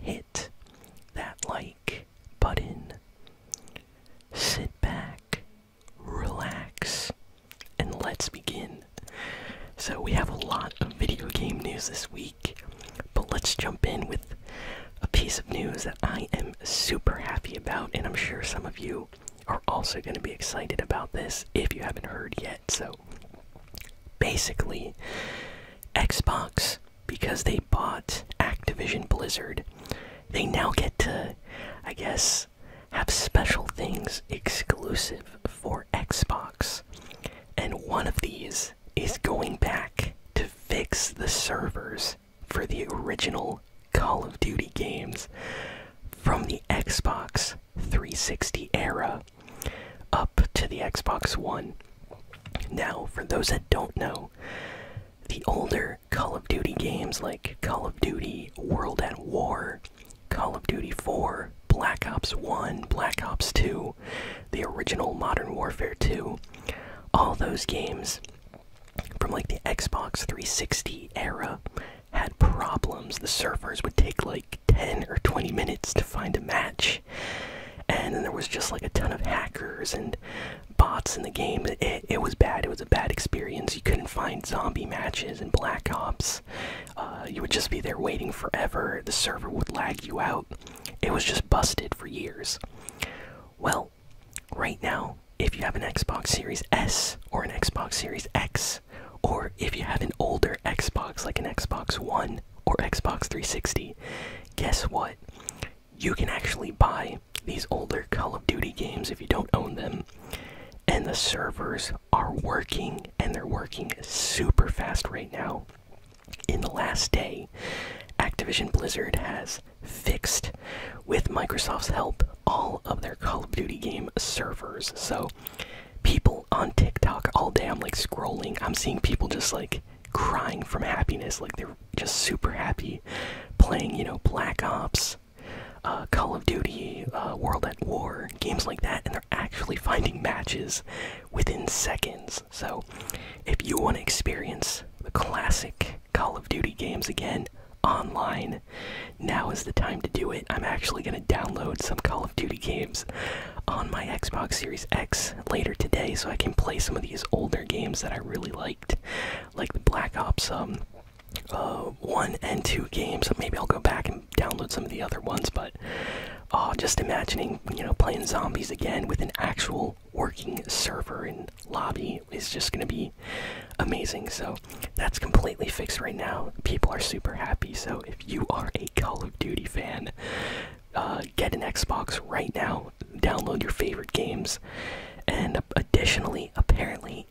hit that like button. Sit back, relax, and let's begin. So, we have a lot of video game news this week, but let's jump in with a piece of news that I am super happy about, and I'm sure some of you are also going to be excited about this if you haven't heard yet. So, basically, Xbox, because they bought Activision Blizzard, they now get to, I guess, have special things exclusive for Xbox. And one of these is going back to fix the servers for the original Call of Duty games from the Xbox 360 era up to the Xbox One. Now, for those that don't know, the older Call of Duty games like Call of Duty World at War, Call of Duty 4, Black Ops 1, Black Ops 2, the original Modern Warfare 2, all those games from like the Xbox 360 era had problems. The servers would take like 10 or 20 minutes to find a match. And then there was just like a ton of hackers and bots in the game. It, was bad. It was a bad experience. You couldn't find zombie matches and Black Ops. Uh, you would just be there waiting forever. The server would lag you out. It was just busted for years. Well, right now, if you have an Xbox Series S or an Xbox Series X, or if you have an older Xbox like an Xbox One or Xbox 360, guess what? You can actually buy these older Call of Duty games if you don't own them. And the servers are working and they're working super fast right now. In the last day, Activision Blizzard has fixed, with Microsoft's help, all of their Call of Duty game servers. So, people on TikTok all day, I'm like scrolling, I'm seeing people just like crying from happiness like they're just super happy playing you know black ops uh, call of duty uh, world at war games like that and they're actually finding matches within seconds so if you want to experience the classic call of duty games again online now is the time to do it i'm actually going to download some call of duty games on my Xbox Series X later today, so I can play some of these older games that I really liked, like the Black Ops um, uh, 1 and 2 games. Maybe I'll go back and download some of the other ones, but uh, just imagining, you know, playing zombies again with an actual working server and lobby is just going to be amazing. So that's completely fixed right now. People are super happy. So if you are a Call of Duty fan, uh, get an Xbox right now, download your favorite games, and additionally, apparently,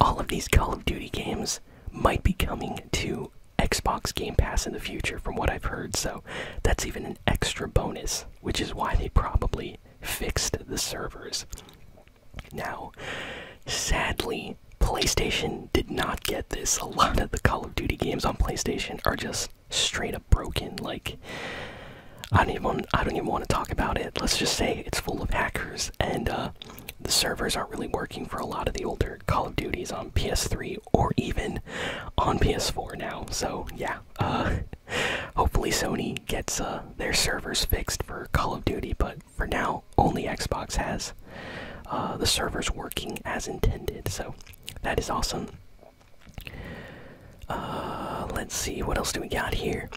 all of these Call of Duty games might be coming to Xbox Game Pass in the future, from what I've heard, so that's even an extra bonus, which is why they probably fixed the servers. Now, sadly, PlayStation did not get this. A lot of the Call of Duty games on PlayStation are just straight up broken. Like I don't even want, I don't even want to talk about it. Let's just say it's full of hackers and uh, the servers aren't really working for a lot of the older Call of Duties on PS3 or even on PS4 now. So yeah, uh, hopefully Sony gets uh, their servers fixed for Call of Duty, but for now only Xbox has the servers working as intended. So that is awesome. Uh, let's see, what else do we got here?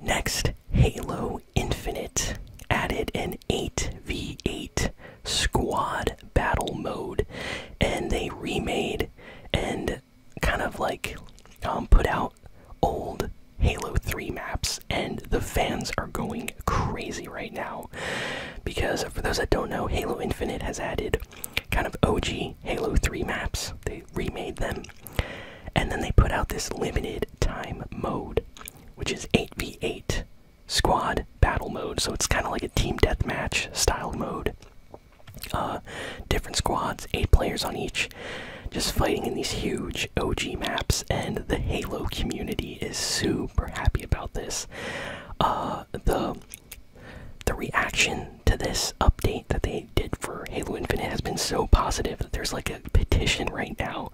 Next, Halo Infinite added an 8v8 squad battle mode, and they remade and kind of like um, put out old Halo 3 maps, and the fans are going crazy right now. Because, for those that don't know, Halo Infinite has added kind of OG Halo 3 maps. They remade them. And then they put out this limited time mode, which is 8v8 squad battle mode. So it's kind of like a team deathmatch style mode. Uh, different squads, eight players on each, just fighting in these huge OG maps. And the Halo community is super happy about this. Uh, the the reaction to this update that they did for Halo Infinite has been so positive that there's like a petition right now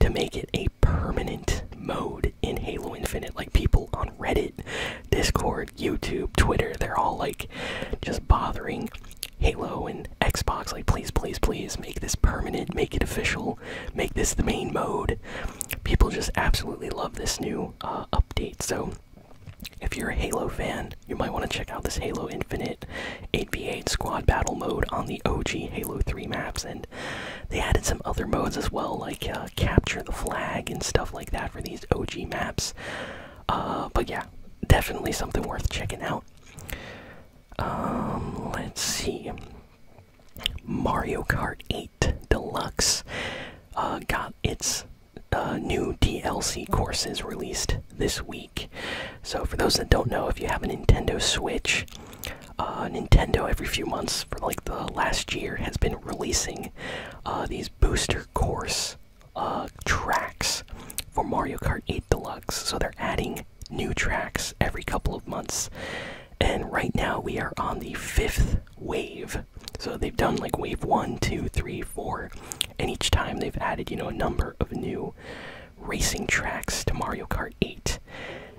to make it a permanent mode in Halo Infinite. Like people on Reddit, Discord, YouTube, Twitter, they're all like just bothering Halo and Xbox. Like, please, please, please make this permanent, make it official, make this the main mode. People just absolutely love this new uh, update. So, if you're a Halo fan, you might want to check out this Halo Infinite 8v8 squad battle mode on the OG Halo 3 maps, and they added some other modes as well, like uh, capture the flag and stuff like that for these OG maps. Uh, but yeah, definitely something worth checking out. Um, let's see. Mario Kart 8. Deluxe uh, got its uh, new DLC courses released this week. So, for those that don't know, if you have a Nintendo Switch, uh, Nintendo every few months for like the last year has been releasing these booster course tracks for Mario Kart 8 Deluxe. So, they're adding new tracks every couple of months. And right now, we are on the fifth wave so they've done like wave one, two, three, four, and each time they've added, you know, a number of new racing tracks to Mario Kart 8.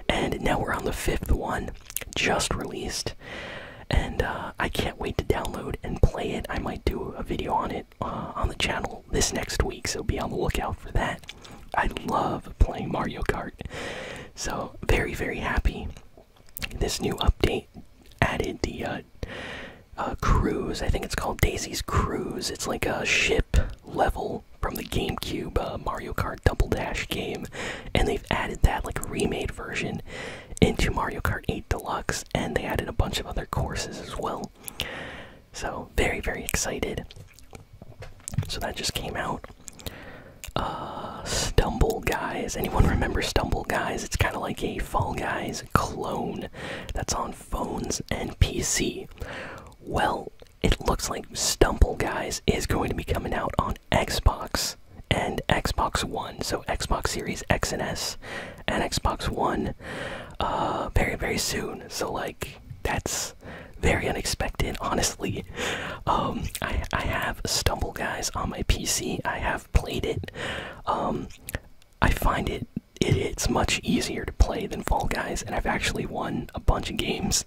And now we're on the fifth one, just released. And uh, I can't wait to download and play it. I might do a video on it uh, on the channel this next week, so be on the lookout for that. I love playing Mario Kart. So, very, very happy this new update added the uh, uh, cruise. I think it's called Daisy's Cruise. It's like a ship level from the GameCube uh, Mario Kart Double Dash game, and they've added that like remade version into Mario Kart 8 Deluxe, and they added a bunch of other courses as well. So very very excited. So that just came out. Uh, Stumble Guys. Anyone remember Stumble Guys? It's kind of like a Fall Guys clone that's on phones and PC. Well, it looks like Stumble Guys is going to be coming out on Xbox and Xbox One. So, Xbox Series X and S and Xbox One uh, very, very soon. So, like, that's very unexpected, honestly. Um, I, I have Stumble Guys on my PC. I have played it, um, I find it, it's much easier to play than Fall Guys, and I've actually won a bunch of games.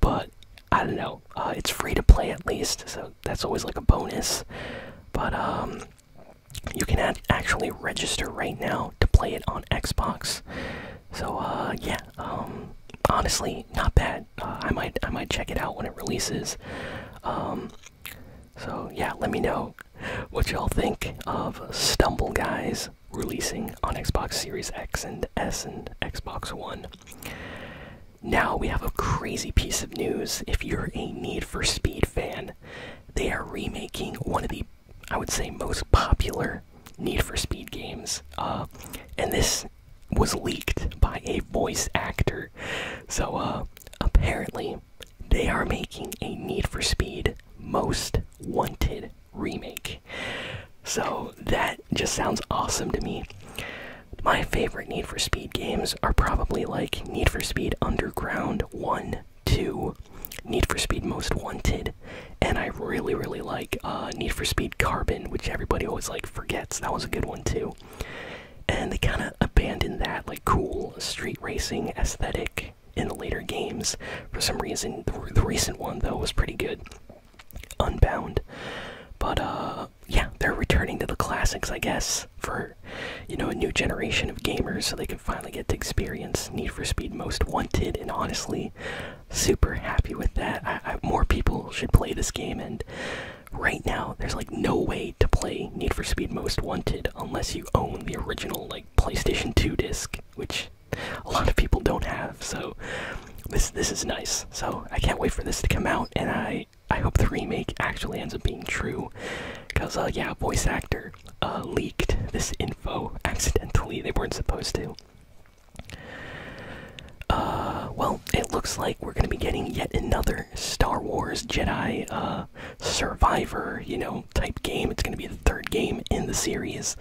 But I don't know, uh, it's free to play at least, so that's always like a bonus. But um, you can actually register right now to play it on Xbox. So uh, yeah, um, honestly, not bad. I might I might check it out when it releases. Um, so yeah, let me know what y'all think of Stumble Guys releasing on Xbox Series X and S and Xbox One. Now we have a crazy piece of news. If you're a Need for Speed fan, they are remaking one of the I would say most popular Need for Speed games, uh, and this was leaked by a voice actor. So, uh, apparently, they are making a Need for Speed Most Wanted remake. So, that just sounds awesome to me. My favorite Need for Speed games are probably like Need for Speed Underground 1, 2, Need for Speed Most Wanted, and I really, really like uh, Need for Speed Carbon, which everybody always like forgets. That was a good one too and they kind of abandoned that like cool street racing aesthetic in the later games for some reason the, recent one though was pretty good unbound but uh, yeah they're returning to the classics i guess for you know a new generation of gamers so they can finally get to experience need for speed most wanted and honestly super happy with that more people should play this game and right now there's like no way to play Need for Speed Most Wanted unless you own the original like PlayStation 2 disc, which a lot of people don't have. So this this is nice. So I can't wait for this to come out, and I I hope the remake actually ends up being true, because uh, yeah, voice actor uh, leaked this info accidentally. They weren't supposed to. Uh, well, it looks like we're going to be getting yet another Star Wars Jedi uh, Survivor, you know, type game. It's going to be the third game in the series.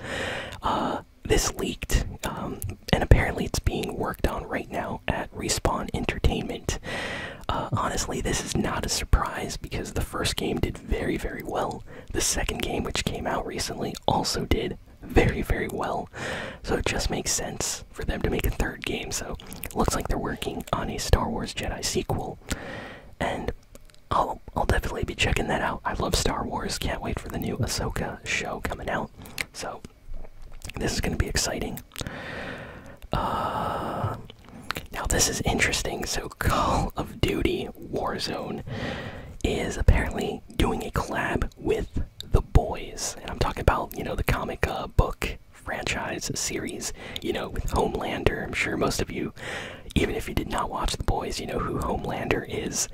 Uh, this leaked, um, and apparently it's being worked on right now at Respawn Entertainment. Uh, honestly, this is not a surprise because the first game did very, very well. The second game, which came out recently, also did very, very well. So it just makes sense for them to make a third game, so looks like they're working on a Star Wars Jedi sequel. And I'll, I'll definitely be checking that out. I love Star Wars. Can't wait for the new Ahsoka show coming out. So this is going to be exciting. Uh, now this is interesting. So Call of Duty Warzone is apparently doing a collab with The Boys, and I'm talking about you know the comic uh, book franchise series, you know, with Homelander. I'm sure most of you, even if you did not watch The Boys, you know who Homelander is.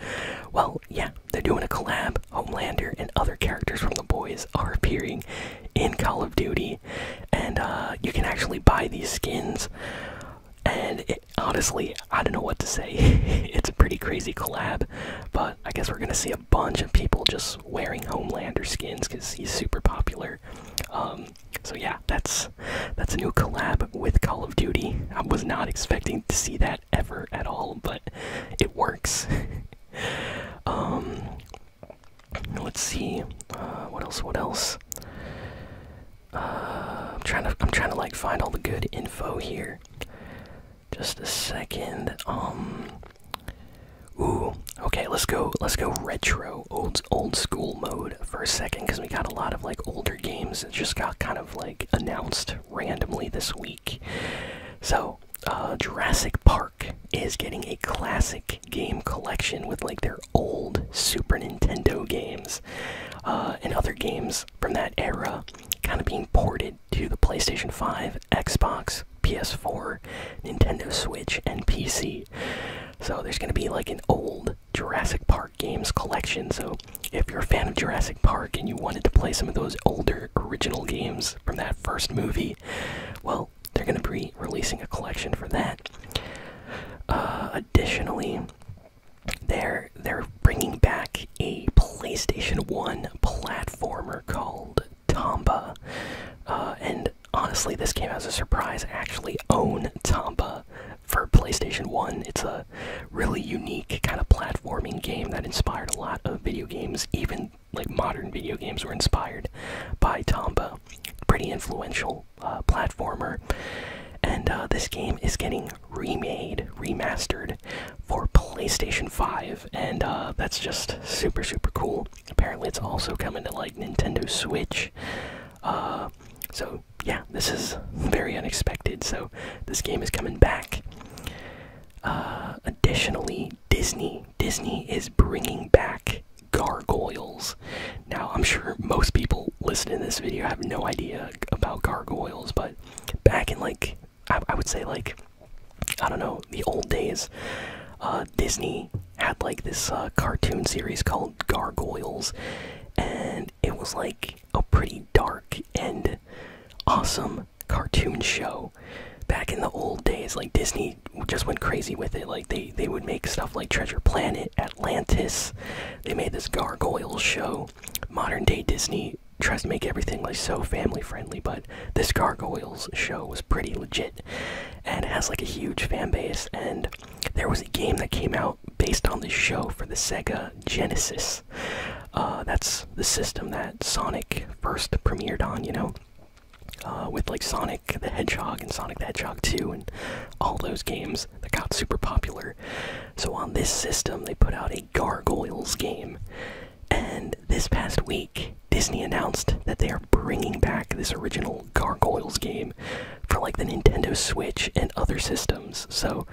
Well, yeah, they're doing a collab. Homelander and other characters from The Boys are appearing in Call of Duty, and uh, you can actually buy these skins. And honestly, I don't know what to say. it's a pretty crazy collab, but I guess we're gonna see bunch of people just wearing Homelander skins because he's super popular. Um, so yeah, that's that's a new collab with Call of Duty. I was not expecting to see that ever at all, but it works. Um, let's see, uh, what else? What else? Uh, I'm trying to I'm trying to like find all the good info here. Just a second. Um, Ooh, okay, let's go. Let's go retro, old old school mode for a second, because we got a lot of like older games that just got kind of like announced randomly this week. So, uh, Jurassic Park is getting a classic game collection with like their old Super Nintendo games uh, and other games from that era, kind of being ported to the PlayStation Five Xbox, PS4, Nintendo Switch, and PC. So there's going to be like an old Jurassic Park games collection. So if you're a fan of Jurassic Park and you wanted to play some of those older original games from that first movie, well, they're going to be releasing a collection for that. Uh, additionally, they're they're bringing back a PlayStation One platformer called Tomba. Uh, and honestly, this came as a surprise. I actually own Tomba for PlayStation 1. It's a really unique kind of platforming game that inspired a lot of video games, even like modern video games were inspired by Tomba. Pretty influential uh, platformer. And uh, this game is getting remade, remastered for PlayStation 5, and that's just super, super cool. Apparently, it's also coming to like Nintendo Switch. Uh, so yeah, this is very unexpected. So this game is coming back. Uh, additionally, Disney Disney is bringing back gargoyles. Now, I'm sure most people listening to this video have no idea about gargoyles, but back in like I would say like I don't know, the old days, uh, Disney had like this uh, cartoon series called Gargoyles, and it was like a pretty dark and awesome cartoon show. Back in the old days, like Disney just went crazy with it. Like they they would make stuff like Treasure Planet, Atlantis. They made this Gargoyles show. Modern day Disney tries to make everything like so family friendly but this Gargoyles show was pretty legit and has like a huge fan base. And there was a game that came out based on this show for the Sega Genesis. Uh, that's the system that Sonic first premiered on, you know, uh, with like Sonic the Hedgehog and Sonic the Hedgehog 2 and all those games that got super popular. So on this system, they put out a Gargoyles game. And this past week, Disney announced that they are bringing back this original Gargoyles game for like the Nintendo Switch and other systems. So,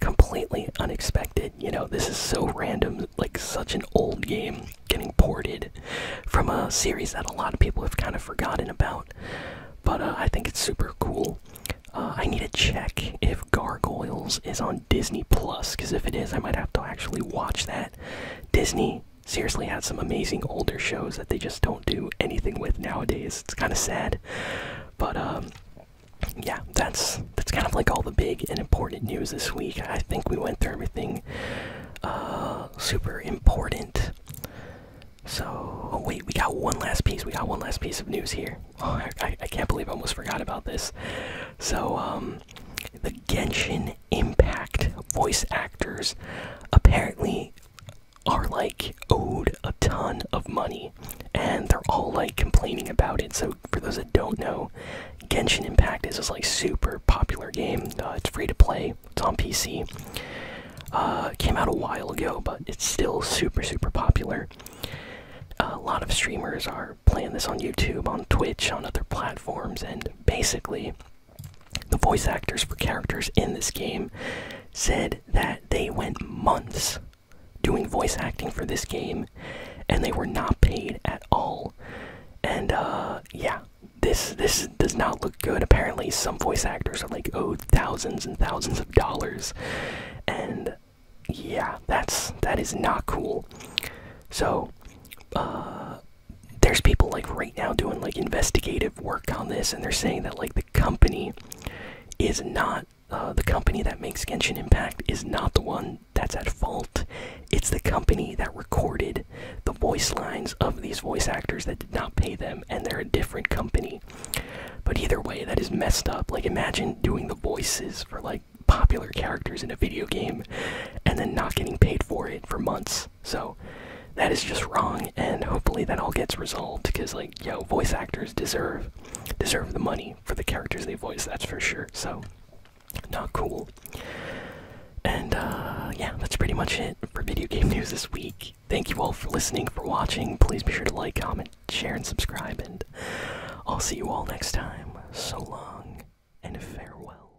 completely unexpected. You know, this is so random, like such an old game getting ported from a series that a lot of people have kind of forgotten about. But uh, I think it's super cool. Uh, I need to check if Gargoyles is on Disney Plus, because if it is, I might have to actually watch that. Disney seriously had some amazing older shows that they just don't do anything with nowadays. It's kind of sad, but um, yeah, that's that's kind of like all the big and important news this week. I think we went through everything uh, super important. So oh, wait, we got one last piece. We got one last piece of news here. Oh, I, can't believe I almost forgot about this. So um, the Genshin Impact voice actors apparently are like owed a ton of money and they're all like complaining about it. So, for those that don't know, Genshin Impact is this like super popular game, uh, it's free to play, it's on PC. Uh, came out a while ago, but it's still super, super popular. a lot of streamers are playing this on YouTube, on Twitch, on other platforms, and basically, the voice actors for characters in this game said that they went months doing voice acting for this game and they were not paid at all. And uh, yeah, this this does not look good. Apparently some voice actors are like owed thousands and thousands of dollars. And yeah, that's that is not cool. So uh, there's people like right now doing like investigative work on this and they're saying that like the company is not uh, the company that makes Genshin Impact is not the one that's at fault. It's the company that recorded the voice lines of these voice actors that did not pay them, and they're a different company. But either way, that is messed up. Like, imagine doing the voices for like popular characters in a video game and then not getting paid for it for months. So that is just wrong, and hopefully that all gets resolved. Because like, yo, voice actors deserve deserve the money for the characters they voice. That's for sure. So not cool. And uh, yeah, that's pretty much it for video game news this week. Thank you all for listening, for watching. Please be sure to like, comment, share, and subscribe. And I'll see you all next time. So long and farewell.